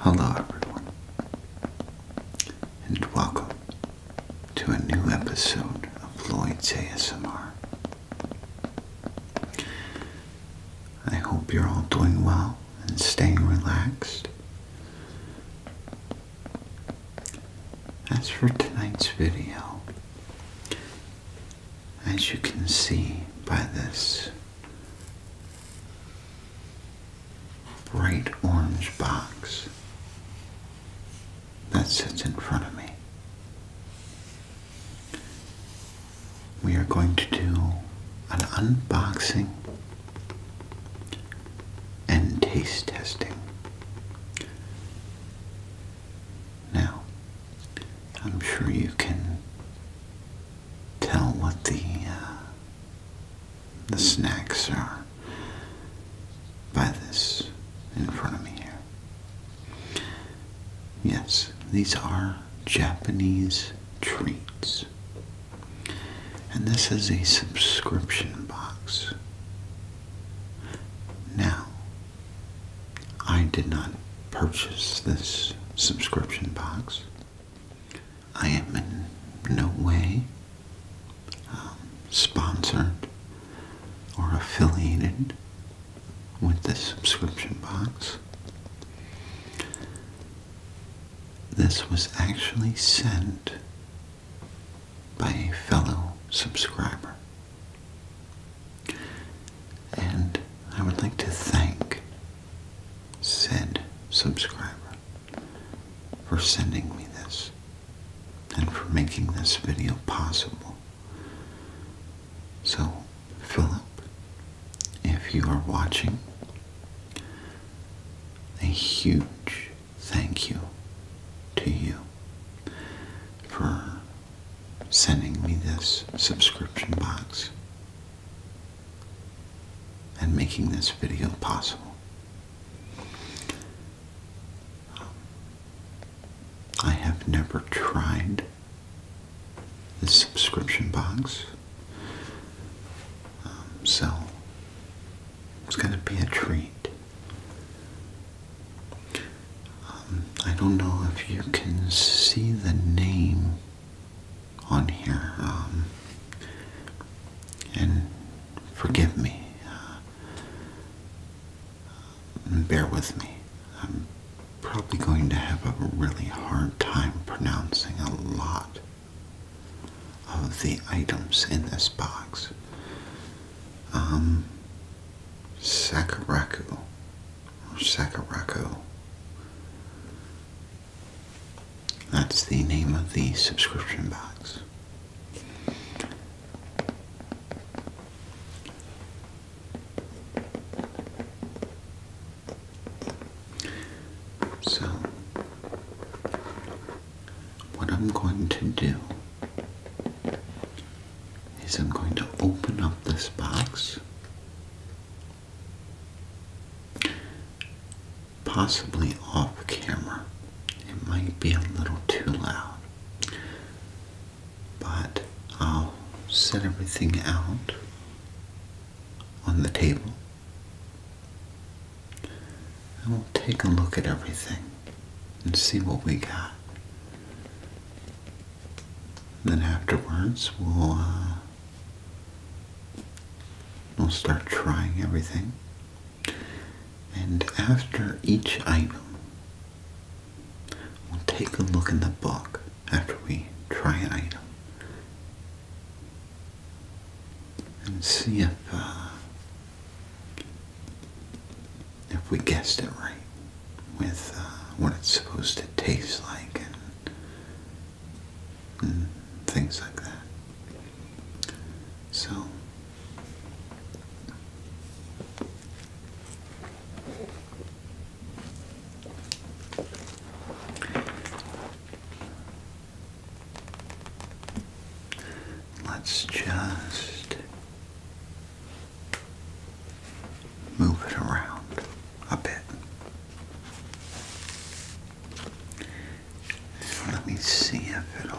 Hello, everyone, and welcome to a new episode of Lloyd's ASMR. I hope you're all doing well and staying relaxed. As for tonight's video, as you can see by this bright orange box that sits in front of me. We are going to do an unboxing and taste testing. Now, I'm sure you can tell what the uh, the snacks are by this in front of me here. Yes, these are Japanese treats. And this is a subscription box. Now, I did not purchase this subscription box. I am in no way um, sponsored or affiliated with this subscription box. This was actually sent by a fellow subscriber. And I would like to thank said subscriber for sending me this and for making this video possible. So, Philip, if you are watching, a huge thank you to you for sending me this subscription box and making this video possible. I have never tried this subscription box, um, so it's going to be a treat. Um, I don't know if you can see the name on here, um, and forgive me. Uh, bear with me. I'm probably going to have a really hard time pronouncing a lot of the items in this box. Um, Sakuraku Sakurako. That's the name of the subscription box. So, what I'm going to do is I'm going to open up this box Possibly off camera. It might be a little too loud. But I'll set everything out on the table. And we'll take a look at everything and see what we got. then afterwards, we'll uh, We'll start trying everything. And after each item, we'll take a look in the book after we try an item and see if uh, if we guessed it right with uh, what it's supposed to taste like things like that. So let's just move it around. I bet. Let me see if it'll.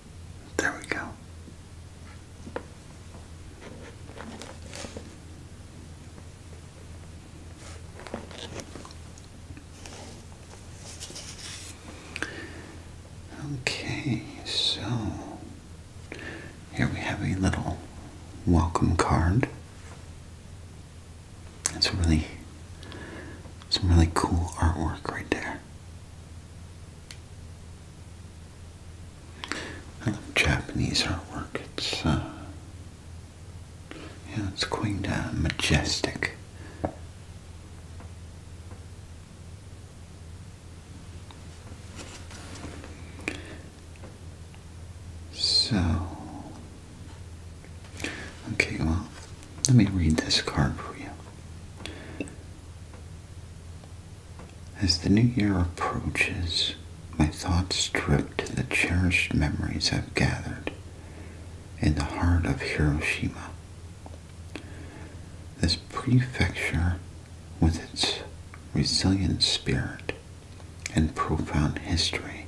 There we go. Okay, so here we have a little welcome card. That's really some really cool artwork right there. Japanese artwork. It's uh, yeah, it's quite uh, majestic. So, okay, well, let me read this card for you. As the new year approaches, my thoughts drift to the cherished memories I've gathered in the heart of Hiroshima. This prefecture, with its resilient spirit and profound history,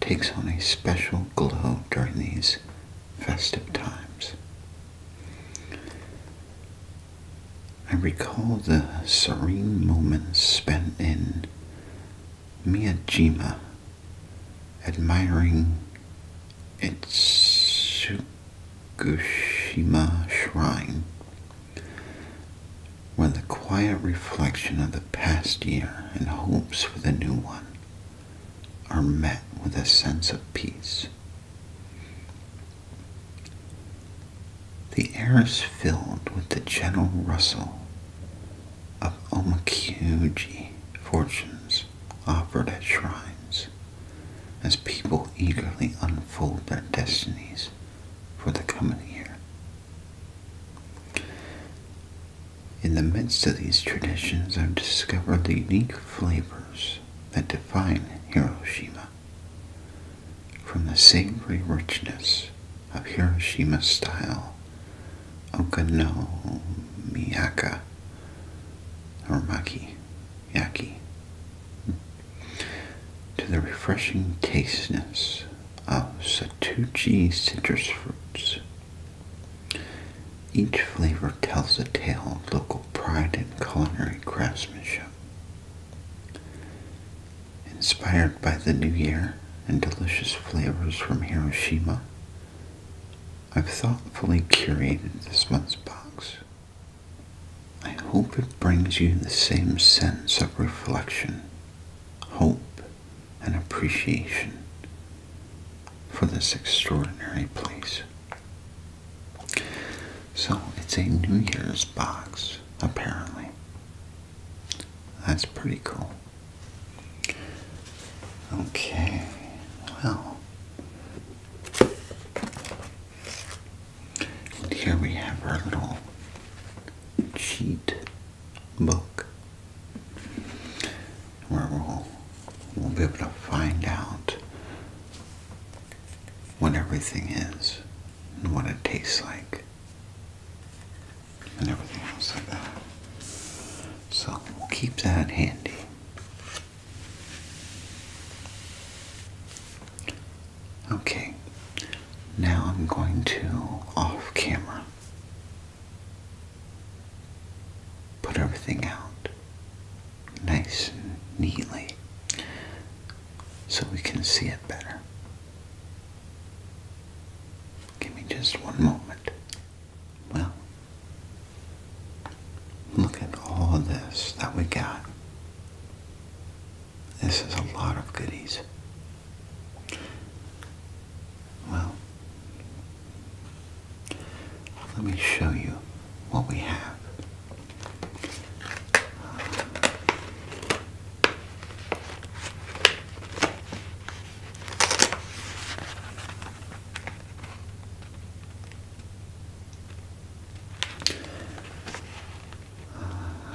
takes on a special glow during these festive times. I recall the serene moments spent in Miyajima, admiring its Tsukushima shrine, were the quiet reflection of the past year and hopes for the new one are met with a sense of peace. The air is filled with the gentle rustle of omakuji fortunes offered at shrines as people eagerly unfold their destinies for the coming year. In the midst of these traditions, I've discovered the unique flavors that define Hiroshima. From the savory richness of Hiroshima style okonomiyaka or maki yaki to the refreshing tastiness of satuchi citrus fruits. Each flavor tells a tale of local pride and culinary craftsmanship. Inspired by the new year and delicious flavors from Hiroshima, I've thoughtfully curated this month's box. I hope it brings you the same sense of reflection, hope, and appreciation for this extraordinary place. So it's a New Year's box, apparently. That's pretty cool. Okay, well. And here we have our little cheat book where we'll, we'll be able to find out what everything is and what it tastes like and everything else like that. So we'll keep that handy. Okay, now I'm going to off camera put everything out nice and neatly so we can see it better. Give me just one moment. Well, look at all this that we got. This is a lot of goodies. Well, let me show you what we have.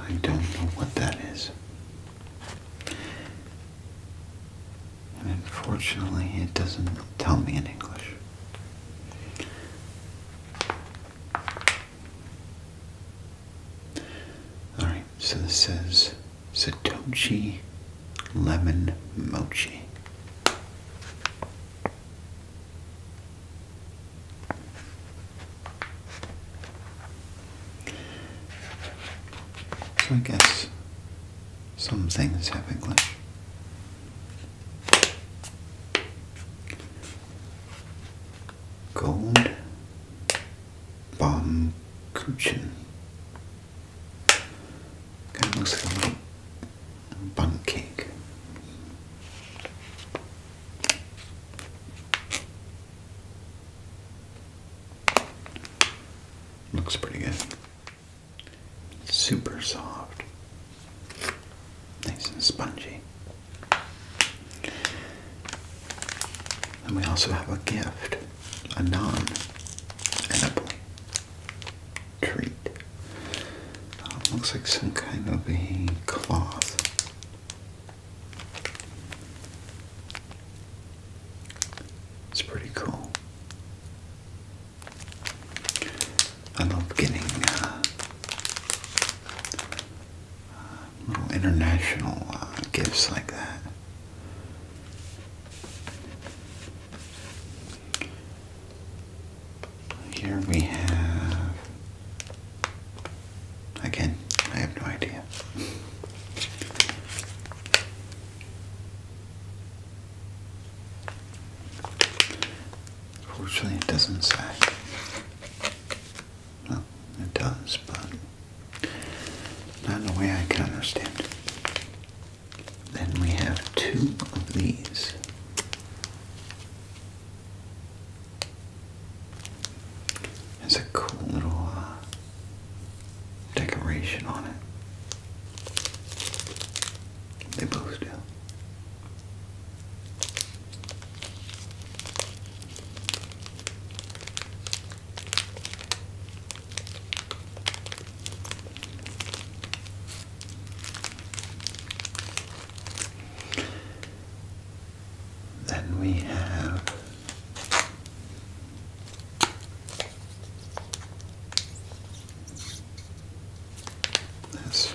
I don't know what that is. And unfortunately, it doesn't tell me in English. Alright, so this says Satoshi Lemon Mochi. So I guess some things have English. Gold Bomb Kuchen. Kind of looks like a bun cake. Looks pretty good. Super soft. Nice and spongy. And we also have a gift, a non edible treat. Uh, looks like some kind of a cloth. It's pretty cool. I'm not getting uh, uh, little international uh, gifts like that. Here we have. Again, I have no idea. Fortunately, it doesn't say. Well, it does, but not in a way I can understand. Then we have two of these. It's a cool little uh, decoration on it. They both do. Then we have this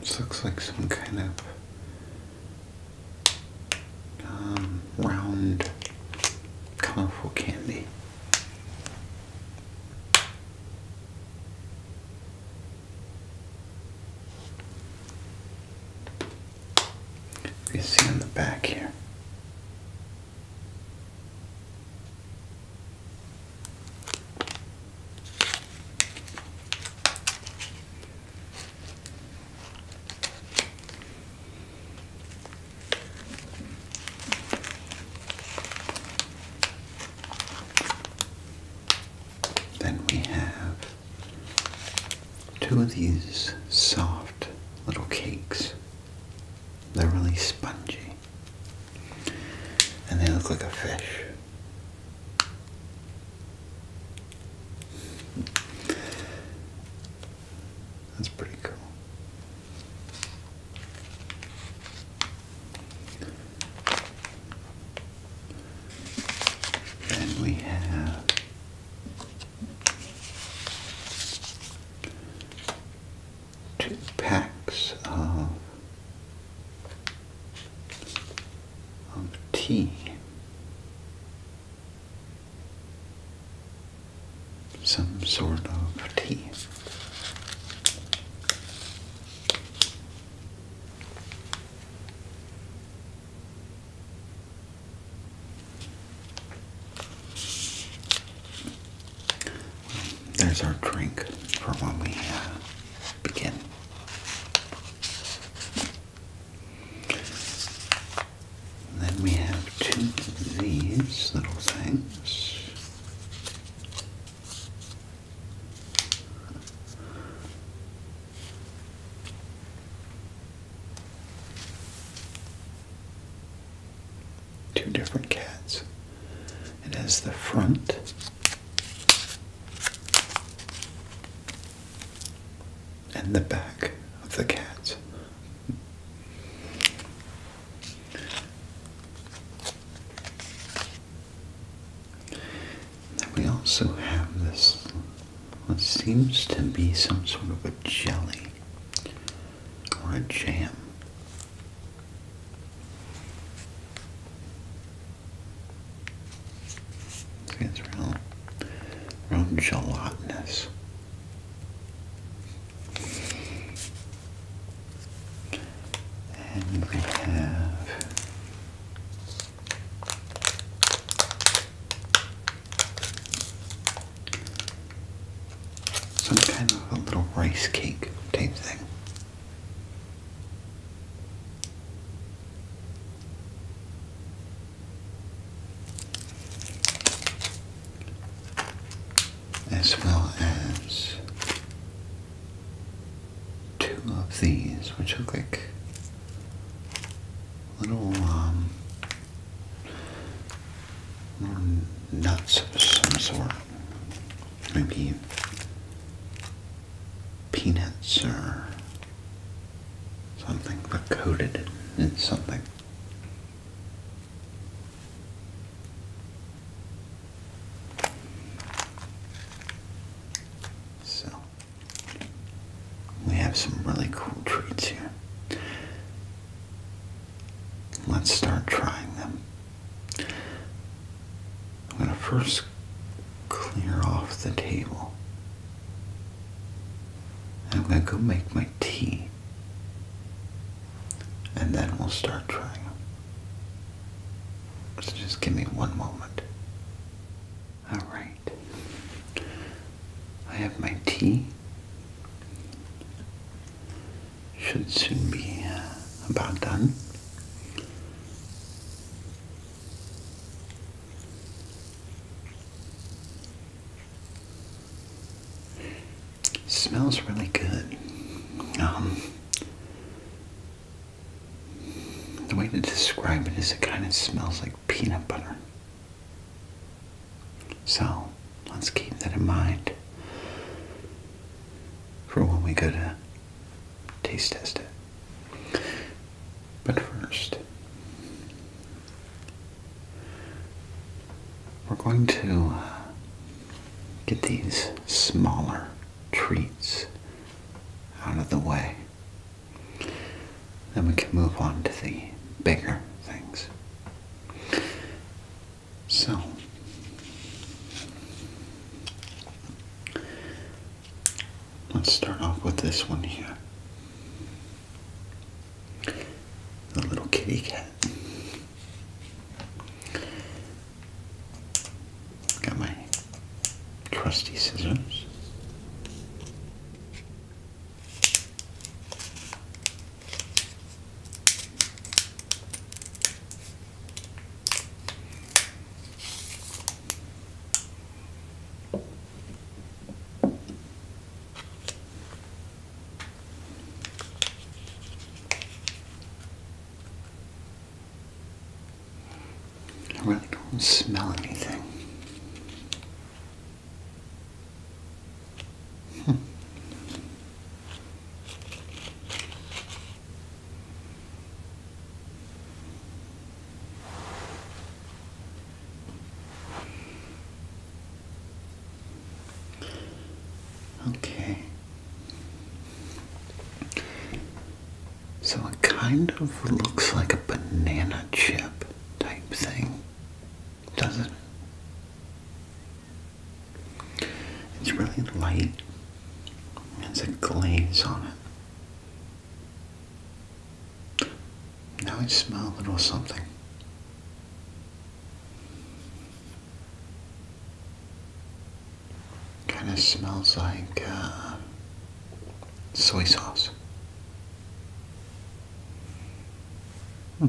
This looks like some kind of um, round, colorful candy. You see on the back here. Then we have two of these soft little cakes. They're really spongy. And they look like a fish. That's pretty cool. Then we have two packs of, of tea some sort of tea. there's our drink for when we uh, begin then we have two of these little things. Two different cats. It has the front and the back of the cat. Then we also have this, what seems to be some sort of a jelly or a jam. It's real, real gelatinous. And we have some kind of a little rice cake type thing as well as two of these, which look like um, little nuts of some sort, maybe peanuts or something, but coated in something. So, we have some really cool treats here. Let's start trying them. I'm going to first clear off the table. And I'm going to go make my tea. And then we'll start trying So just give me one moment. Alright. I have my tea. Should soon be uh, about done. Smells really good. Um, the way to describe it is it kind of smells like peanut butter. So let's keep that in mind for when we go to taste test it. But first, we're going to get these smaller treats out of the way. Then we can move on to the bigger things. So, let's start off with this one here. A little kitty cat. Got my trusty scissors. I really don't smell anything. Okay. So it kind of looks like a banana chip type thing, doesn't it? It's really light. There's a glaze on it. Now I smell a little something. Kind of smells like uh, soy sauce. Hmm.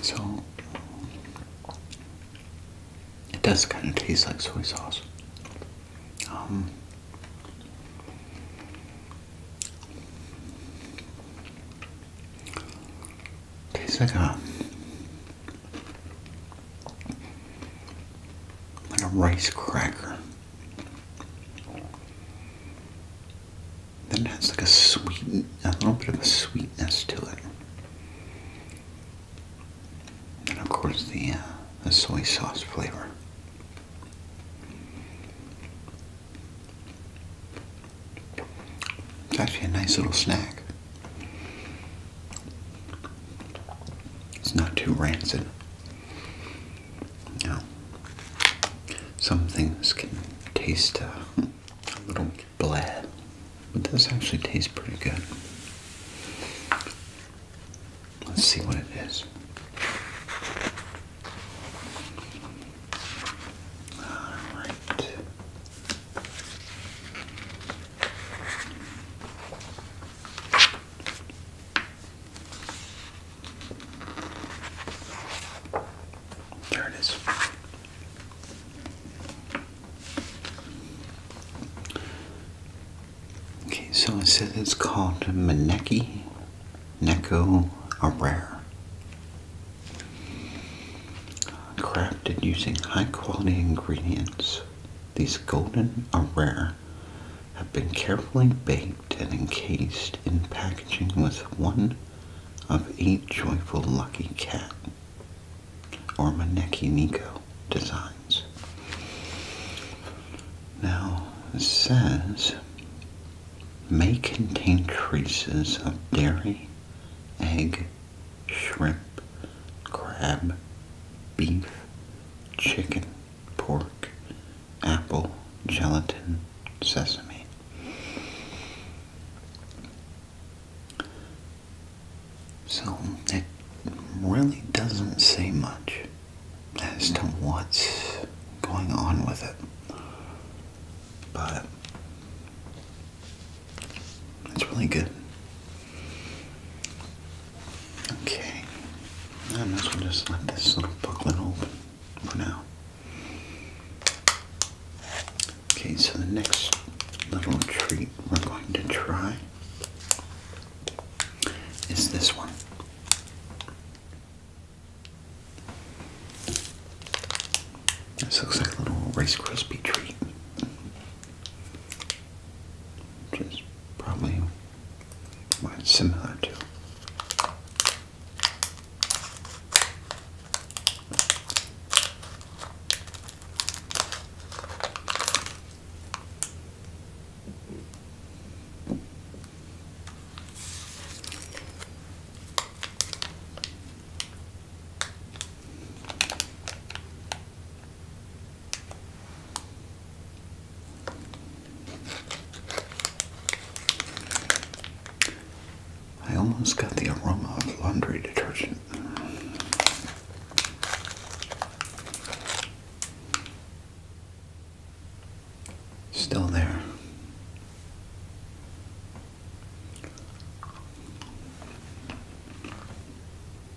So it does kind of taste like soy sauce. Um, tastes like a like a rice cracker. Then it has like a sweet, a little bit of a sweetness to it. And of course the, uh, the soy sauce flavor. It's actually a nice little snack. It's not too rancid. Now, some things can taste uh, a little bland, but this actually tastes pretty good. Let's see what it is. All right. There it is. Okay, so I said it's called Maneki Neko rare, Crafted using high quality ingredients these golden arare have been carefully baked and encased in packaging with one of eight joyful lucky cat or Maneki neko designs. Now, says, may contain traces of dairy, egg, shrimp, crab, beef, chicken, pork, apple, gelatin, sesame. So it really doesn't say much as to what's going on with it. But it's really good. Okay. I might as well just let this little booklet open for now. Okay, so the next little treat we're going to try is this one. This looks like a little Rice Krispie treat, which is probably well, similar to. I almost got the aroma of laundry detergent. Still there.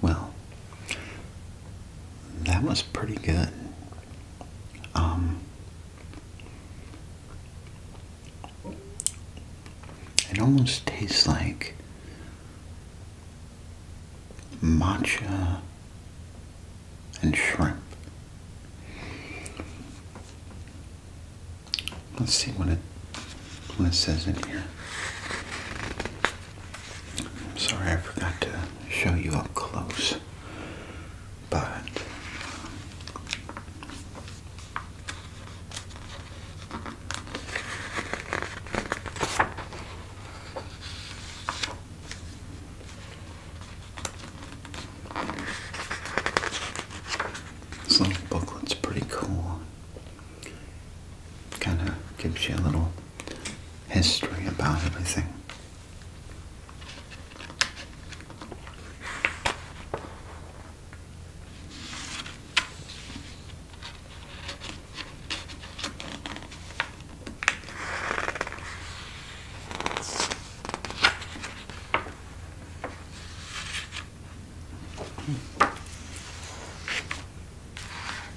Well, that was pretty good. Um, it almost tastes like matcha, and shrimp. Let's see what it what says in here. I'm sorry, I forgot to show you up close, but. This little booklet's pretty cool. Kind of gives you a little history about everything.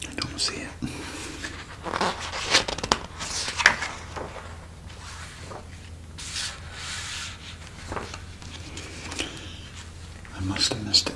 I don't see it. I must have missed it.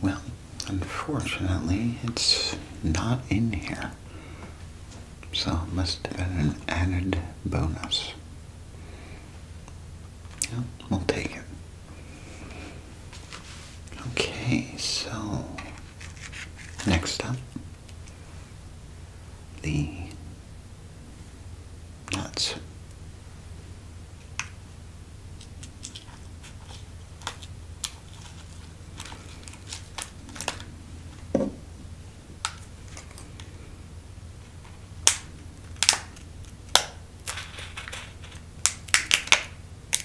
Well, unfortunately, it's not in here. So it must have been an added bonus. Yeah, we'll take it. Okay, so next up, the nuts.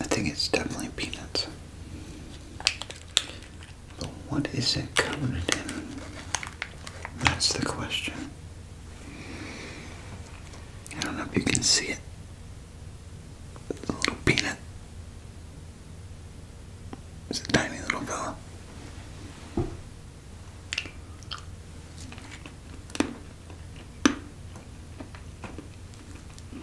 I think it's definitely peanuts. But what is it coated in? That's the question. I don't know if you can see it. The little peanut. It's a tiny little fella.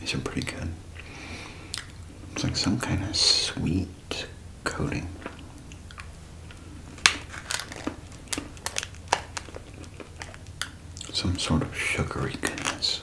These are pretty good. It's like some kind of sweet coating. Some sort of sugary goodness.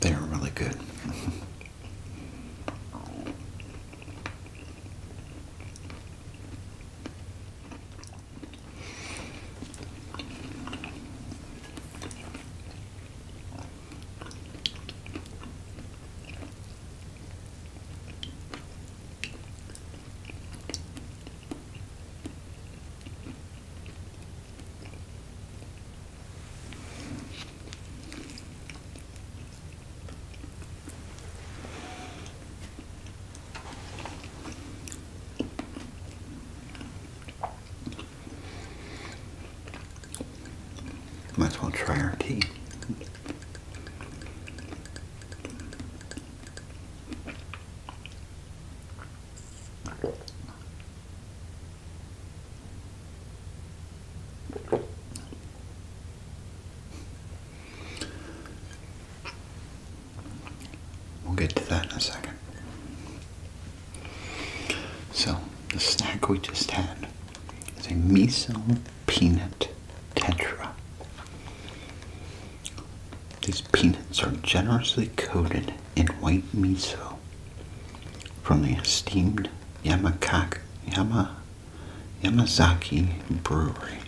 They're really good. Might as well try our tea. We'll get to that in a second. So, the snack we just had is a miso peanut tetra. These peanuts are generously coated in white miso from the esteemed Yamakak, Yama, Yamazaki Brewery.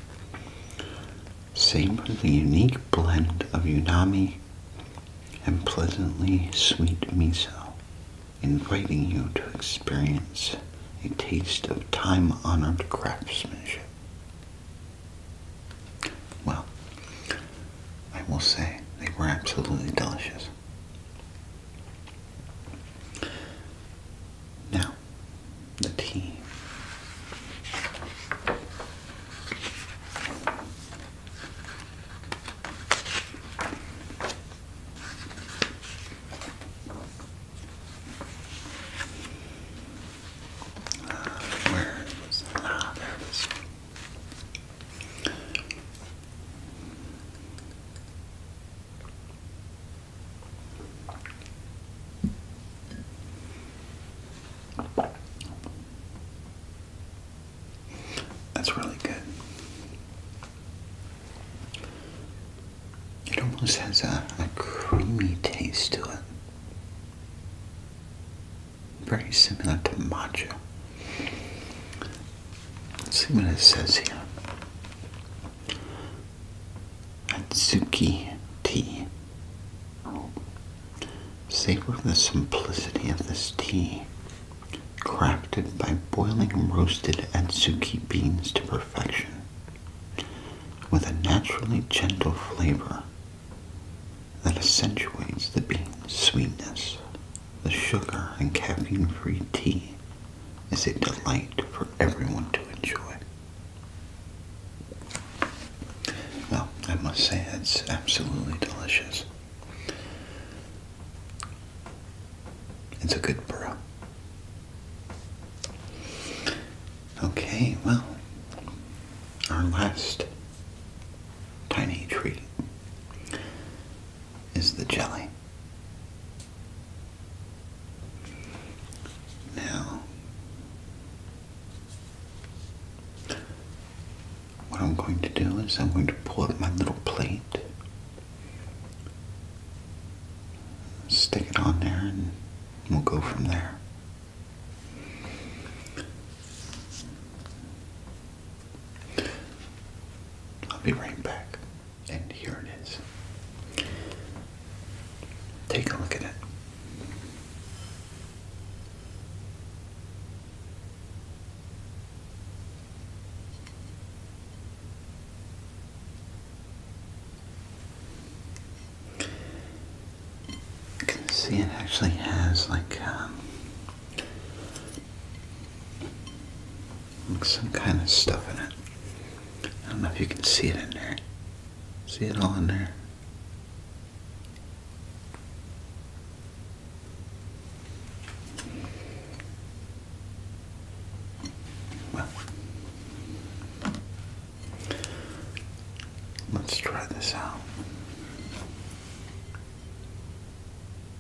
Savor the unique blend of Unami and pleasantly sweet miso, inviting you to experience a taste of time-honored craftsmanship. Well, I will say they were absolutely delicious. Now, the tea. Uh, where ah, there it is. That's really good. It almost has a, creamy taste to it. Very similar to matcha. Let's see what it says here. Atsuki tea. Savor the simplicity of this tea. Crafted by boiling roasted Atsuki beans to perfection. With a naturally gentle flavor that accentuates the bean's sweetness the sugar and caffeine-free tea is a delight for everyone to enjoy. Well, I must say it's absolutely delicious. It's a good brew. Okay, well, our last tiny treat is the jelly. Now, what I'm going to do is I'm going to pull up my little plate, stick it on there, and we'll go from there. I'll be right back. And here it is. Take a look at it. You can see it actually has like um, some kind of stuff in it. I don't know if you can see it in there. See it all in there. Well, let's try this out.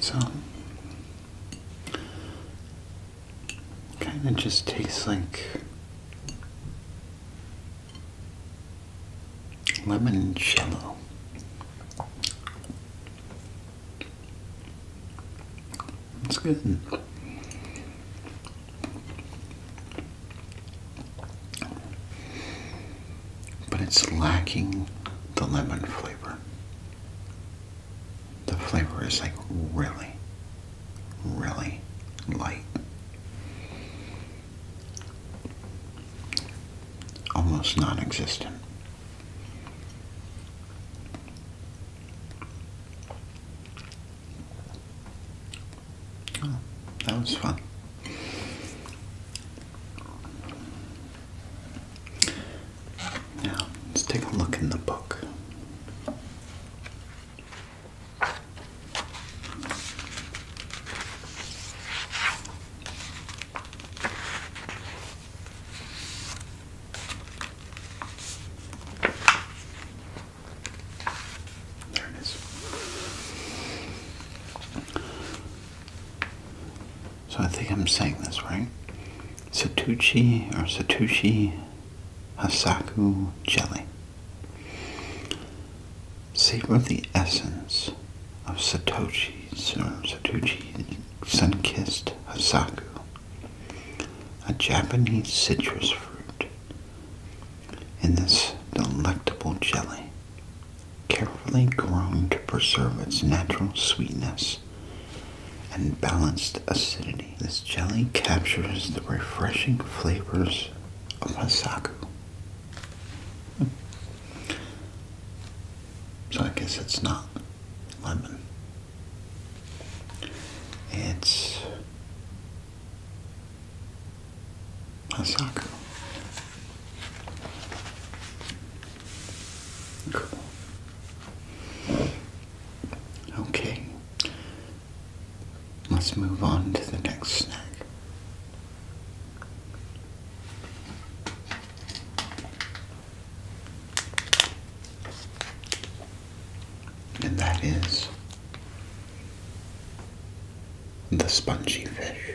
So, kind of just tastes like lemon cello. It's good but it's lacking the lemon flavor. The flavor is like really, really light. Almost non existent. Oh, that was fun. Now, let's take a look in the book. There it is. So I think I'm saying this right. Satoshi or Satoshi Hasaku jelly. Savor the essence of Satoshi's or Satoshi sun-kissed Hasaku, a Japanese citrus fruit in this delectable jelly carefully grown to preserve its natural sweetness and balanced acidity. This jelly captures the refreshing flavors of Hasaku. So I guess it's not lemon. It's Hasaku. Cool. Okay. Let's move on to the next snack. And that is the spongy fish.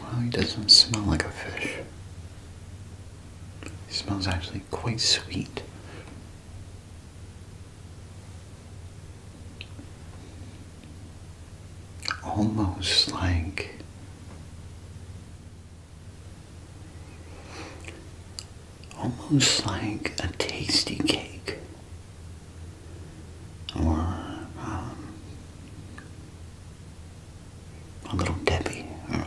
Well, he doesn't smell like a fish. He smells actually quite sweet. Almost like almost like a tasty cake or um, a little Debbie. Uh,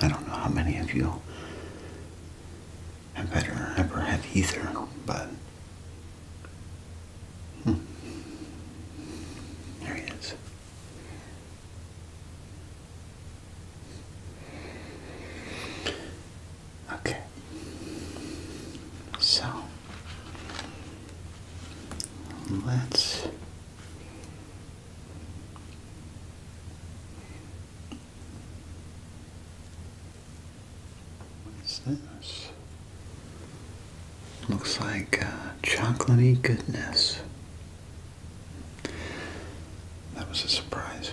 I don't know how many of you have ever, ever have either, but hmm. there he is. Okay. So let's What's this? Looks like uh, chocolatey goodness. That was a surprise.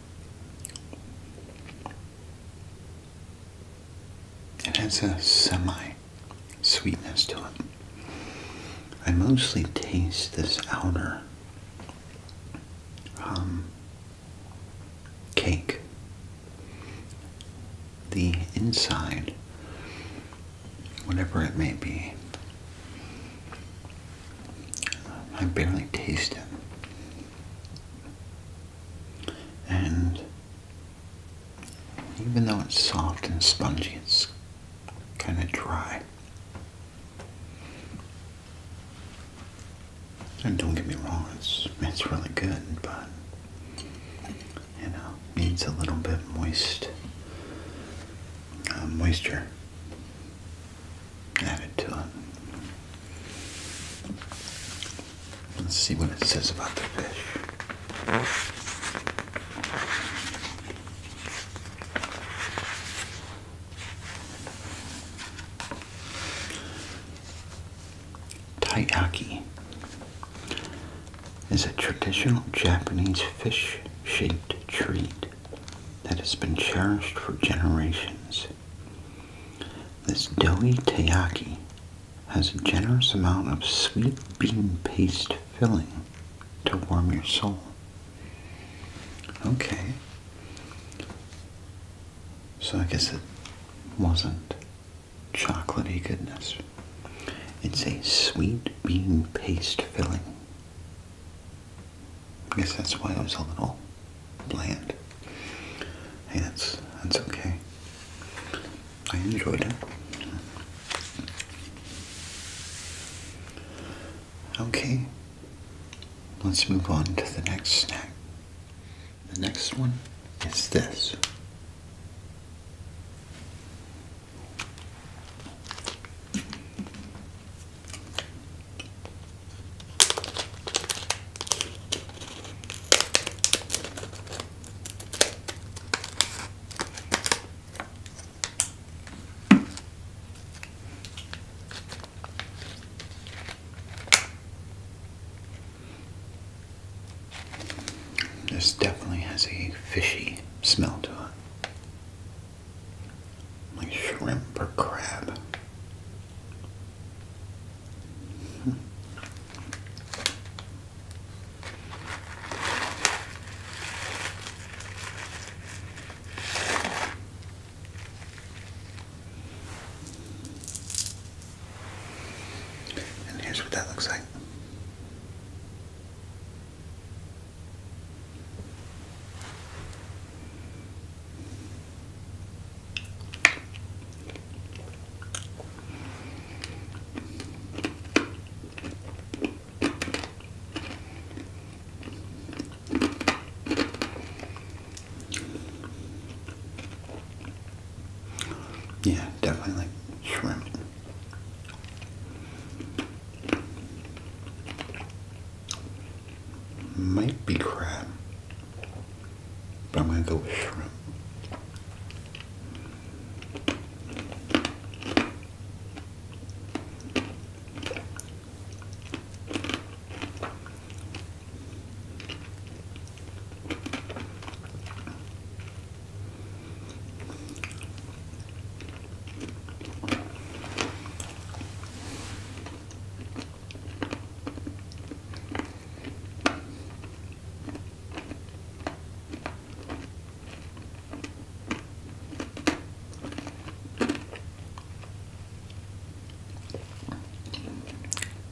It has a semi sweetness to it. I mostly taste this outer um, cake. The inside, whatever it may be, I barely taste it. And even though it's soft and spongy, it's kind of dry. And don't get me wrong, it's, it's really good, but you know, needs a little bit moist uh, moisture added to it. Let's see what it says about the fish. Taiyaki is a traditional Japanese fish shaped treat that has been cherished for generations. This doughy taiyaki has a generous amount of sweet bean paste filling to warm your soul. Okay. So I guess it wasn't chocolatey goodness. It's a sweet bean paste filling I guess that's why I was a little bland. Hey, that's that's okay. I enjoyed it. Okay, let's move on to the next snack. The next one is this. This definitely has a fishy smell to it like shrimp or crab. And here's what that looks like. Yeah, definitely like shrimp. Might be crab, but I'm gonna go with shrimp.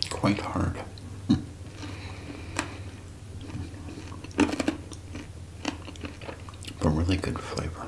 Quite hard. but really good flavor.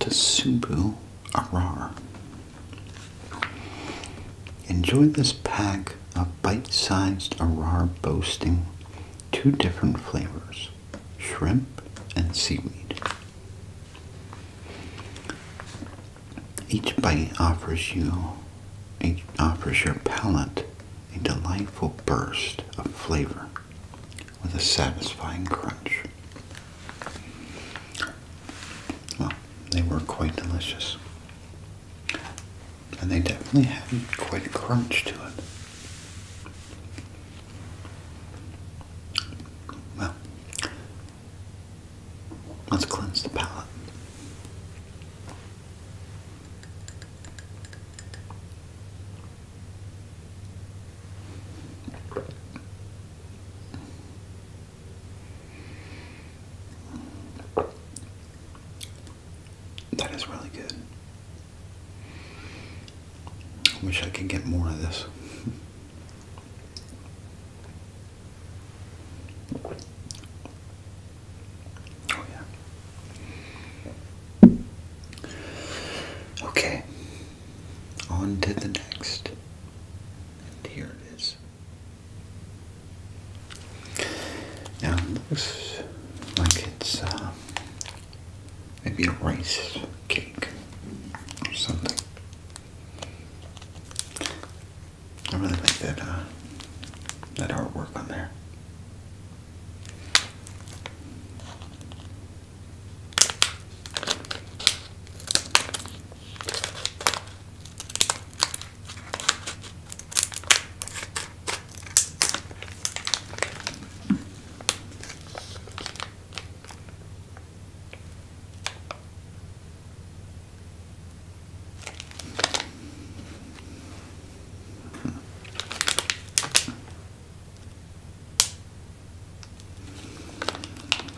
Tasubu Arar. Enjoy this pack of bite-sized Arar boasting two different flavors, shrimp and seaweed. Each bite offers you, each offers your palate a delightful burst of flavor with a satisfying crunch. Well, they were quite delicious. And they definitely had quite a crunch to it. Well, Let's cleanse the palate. That is really good. I wish I could get more of this. Oh, okay. On to the next. And here it is. Now it looks like it's uh, maybe a rice cake or something. I really like that uh, that artwork on there.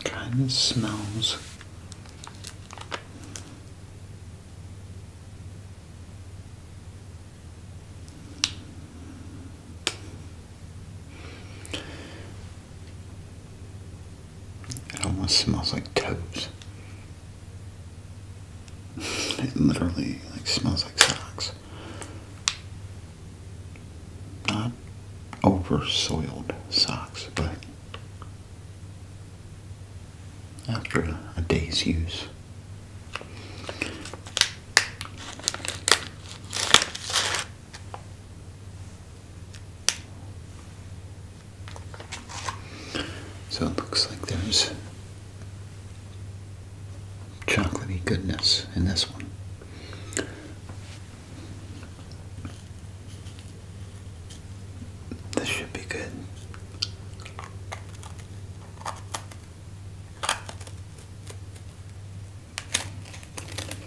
Kind of smells it almost smells like toes. It literally like smells like socks. Not over soiled socks, but after a, a day's use. So it looks like there's chocolatey goodness in this one. This should be good.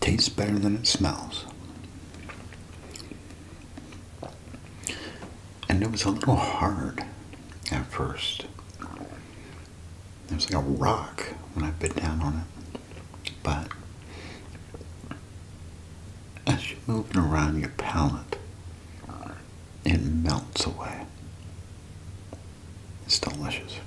Tastes better than it smells. And it was a little hard at first. It was like a rock when I bit down on it. But as you are moving around your palate, it melts away. It's delicious.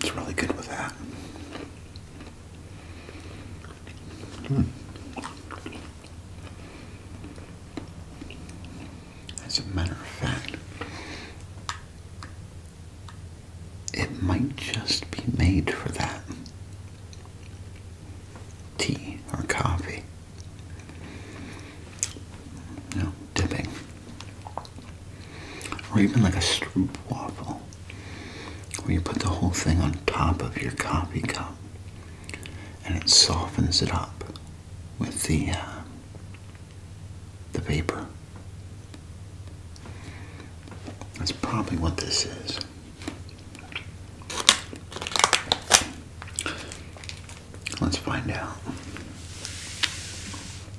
It's really good with that. Hmm. As a matter of fact, it might just be made for that tea or coffee. No, dipping. Or even like a stroop waffle, where you put the whole thing on top of your coffee cup and it softens it up with the, uh, the vapor. That's probably what this is. Let's find out.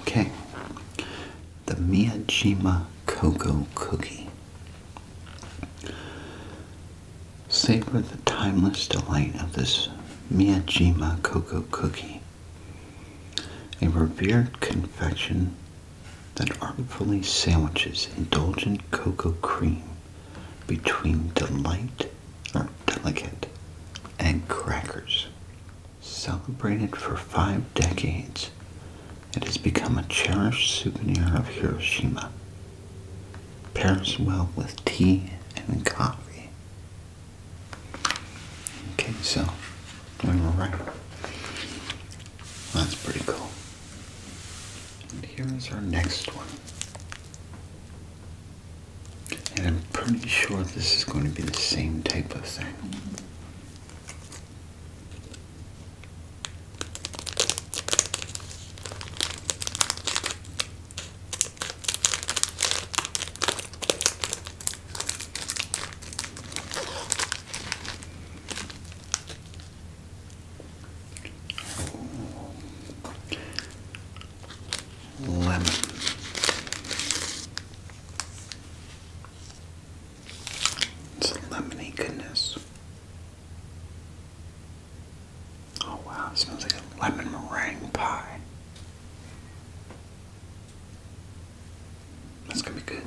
Okay, the Miyajima Cocoa Cookie. Savor the timeless delight of this Miyajima Cocoa Cookie, a revered confection that artfully sandwiches indulgent cocoa cream between delight or delicate and crackers. Celebrated for five decades, it has become a cherished souvenir of Hiroshima. Pairs well with tea and coffee. Okay, so we were right. That's pretty cool. And here is our next one. And I'm pretty sure this is going to be the same type of thing. Lemon. It's lemony goodness. Oh wow, smells like a lemon meringue pie. That's gonna be good.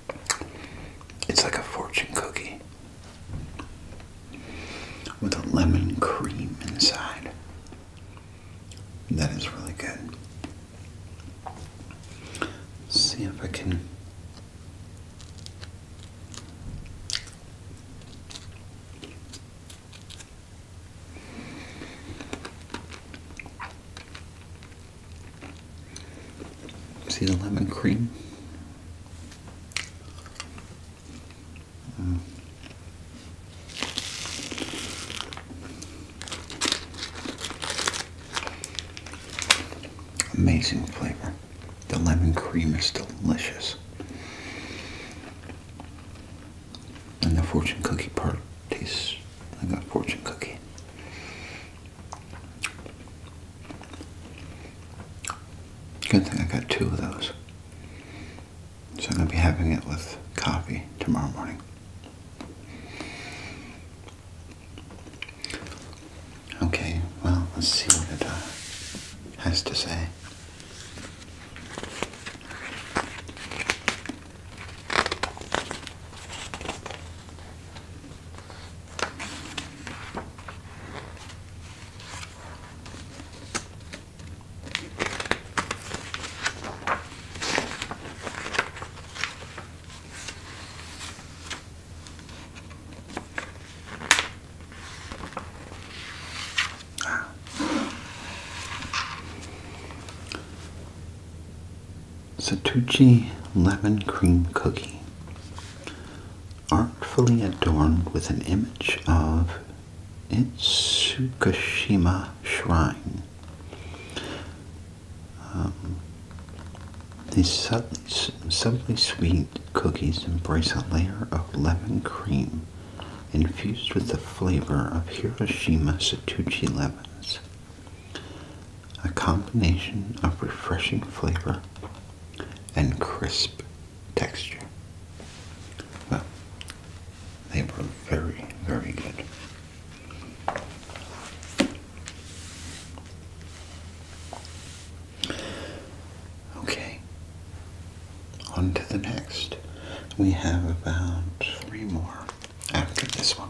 It's like a fortune cookie with a lemon cream inside. That is really good. see if I can. See the lemon cream? Mm. Amazing flavor. The lemon cream is delicious. And the fortune cookie part tastes I got fortune cookie. Good thing I got two of those. So I'm going to be having it with coffee tomorrow morning. Okay, well, let's see what it uh, has to say. Ah. lemon cream cookie artfully adorned with an image of its Itsukishima Shrine. Um, these subtly, sweet cookies embrace a layer of lemon cream infused with the flavor of Hiroshima Satouchi lemons. A combination of refreshing flavor and crisp texture. Well, they were very, very good. Okay, on to the next. We have about three more after this one.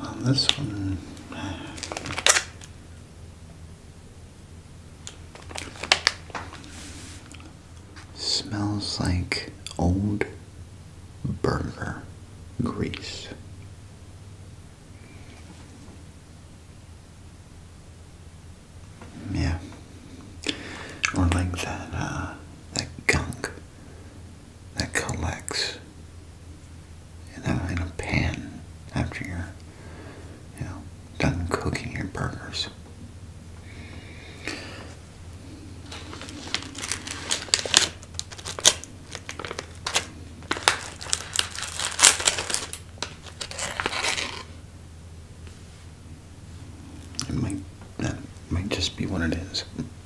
Well, this one. Smells like old burner grease. Yeah, or like that uh, that gunk that collects in a, in a pan after you're you know, done cooking your burgers. It might, that might just be what it is.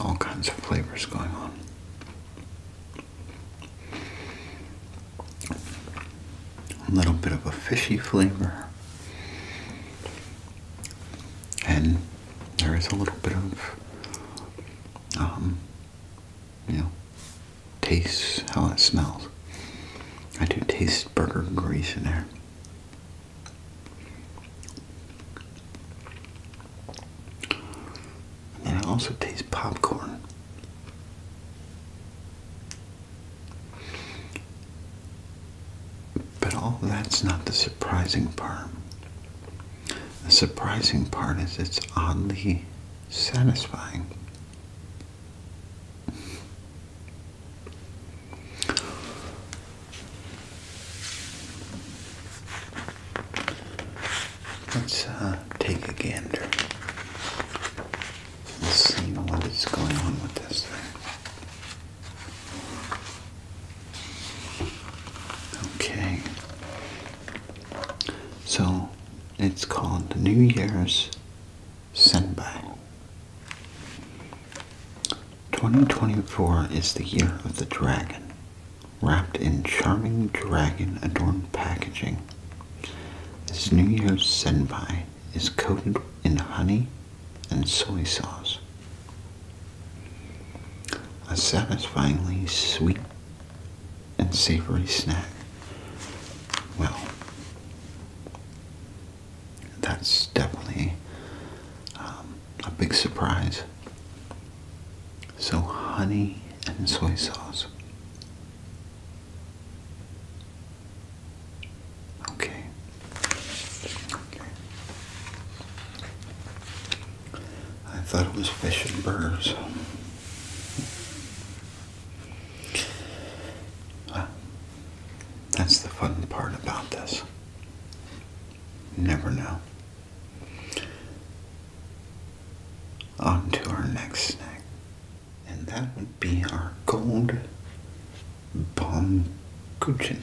All kinds of flavors going on a little bit of a fishy flavor, and there is a little bit of, um, you know, taste how it smells. I do taste burger grease in there. And I also taste popcorn. But all that's not the surprising part. The surprising part is it's oddly satisfying. Let's uh, take a gander. See what is going on with this thing. Okay. So it's called the New Year's Senbai. 2024 is the year of the dragon, wrapped in charming dragon adorned packaging. This New Year's Senpai is coated in honey and soy sauce. A satisfyingly sweet and savory snack. Well, that's definitely um, a big surprise. So, honey and soy sauce. Okay. I thought it was fish and birds. that's the fun part about this. never know. On to our next snack and that would be our gold bomb cushion.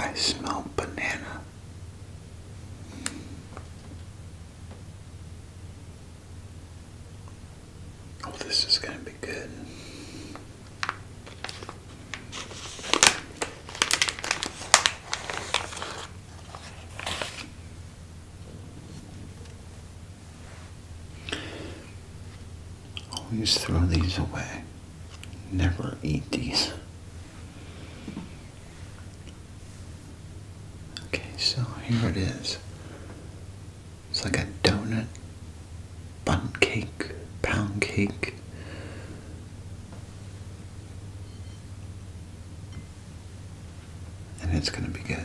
I smell banana. Oh, this is going to be good. Always throw these away. Never eat these. Okay, so here it is. It's like a donut, bun cake, pound cake. And it's going to be good.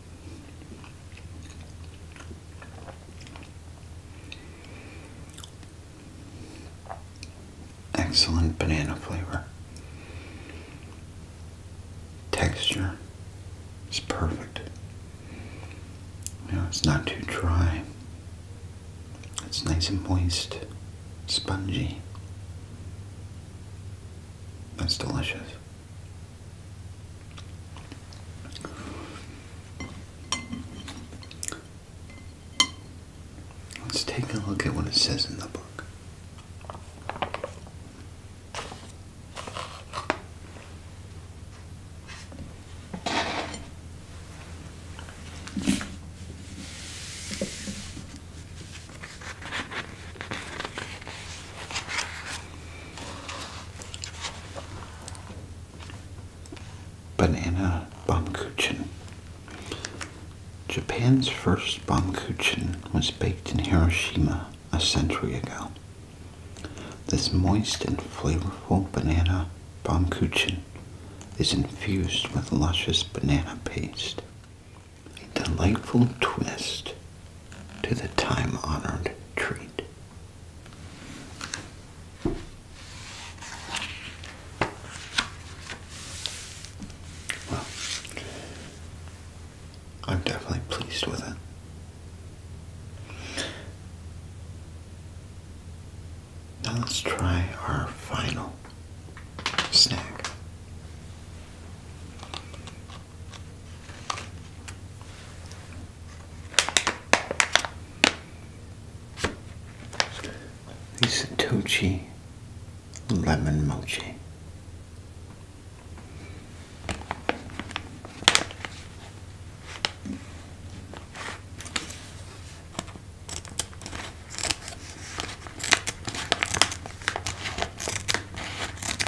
Excellent banana flavor. Texture is perfect. You know, it's not too dry. It's nice and moist, spongy. That's delicious. Let's take a look at what it says in the book. Banana Baumkuchen. Japan's first Baumkuchen was baked in Hiroshima a century ago. This moist and flavorful banana Baumkuchen is infused with luscious banana paste, a delightful twist to the time-honored treat. I'm definitely pleased with it. Now let's try our final snack. These Tochi lemon mochi.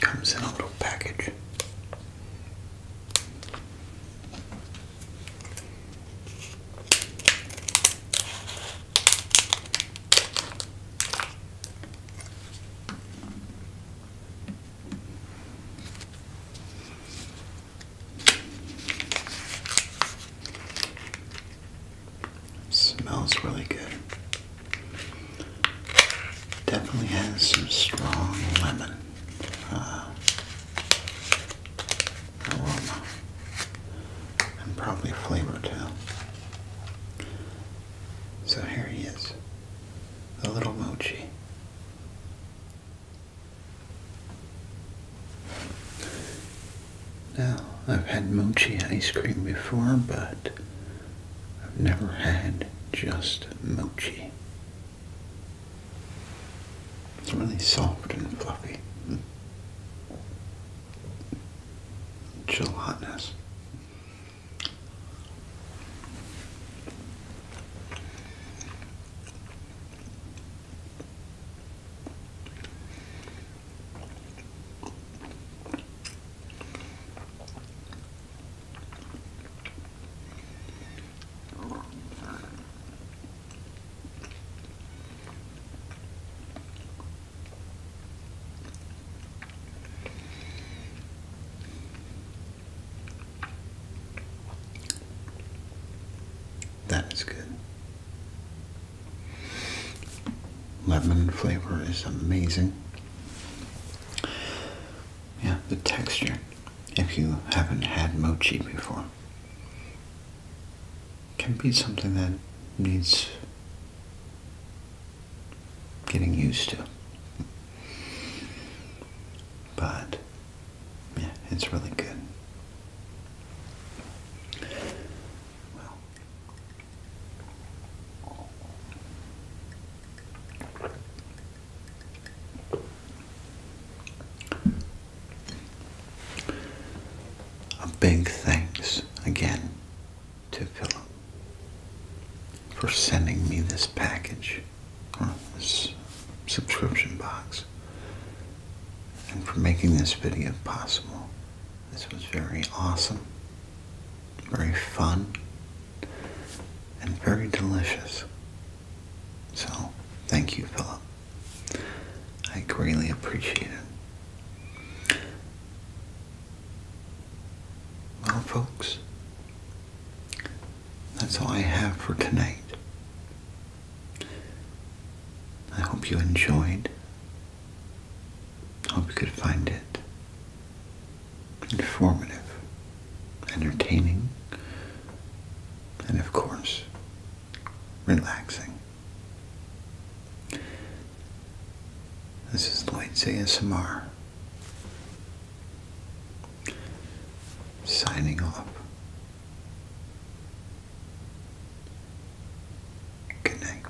Comes in a little package. smells really good. Definitely has some strong lemon uh, aroma and probably flavor too. So here he is, the little mochi. Now, I've had mochi ice cream before, but I've never had just mochi. It's really soft and fluffy. Mm. Gelatinous. That is good. Lemon flavor is amazing. Yeah, the texture, if you haven't had mochi before, can be something that needs getting used to. But, yeah, it's really good. Well, a big thanks again to Philip for sending me this package this subscription box and for making this video possible. This was very awesome, very fun, and very delicious. So, thank you, Philip. I greatly appreciate it. Well, folks, that's all I have for tonight. I hope you enjoyed. I hope you could find it informative, entertaining, and of course, relaxing. This is Lloyd's ASMR, signing off. Good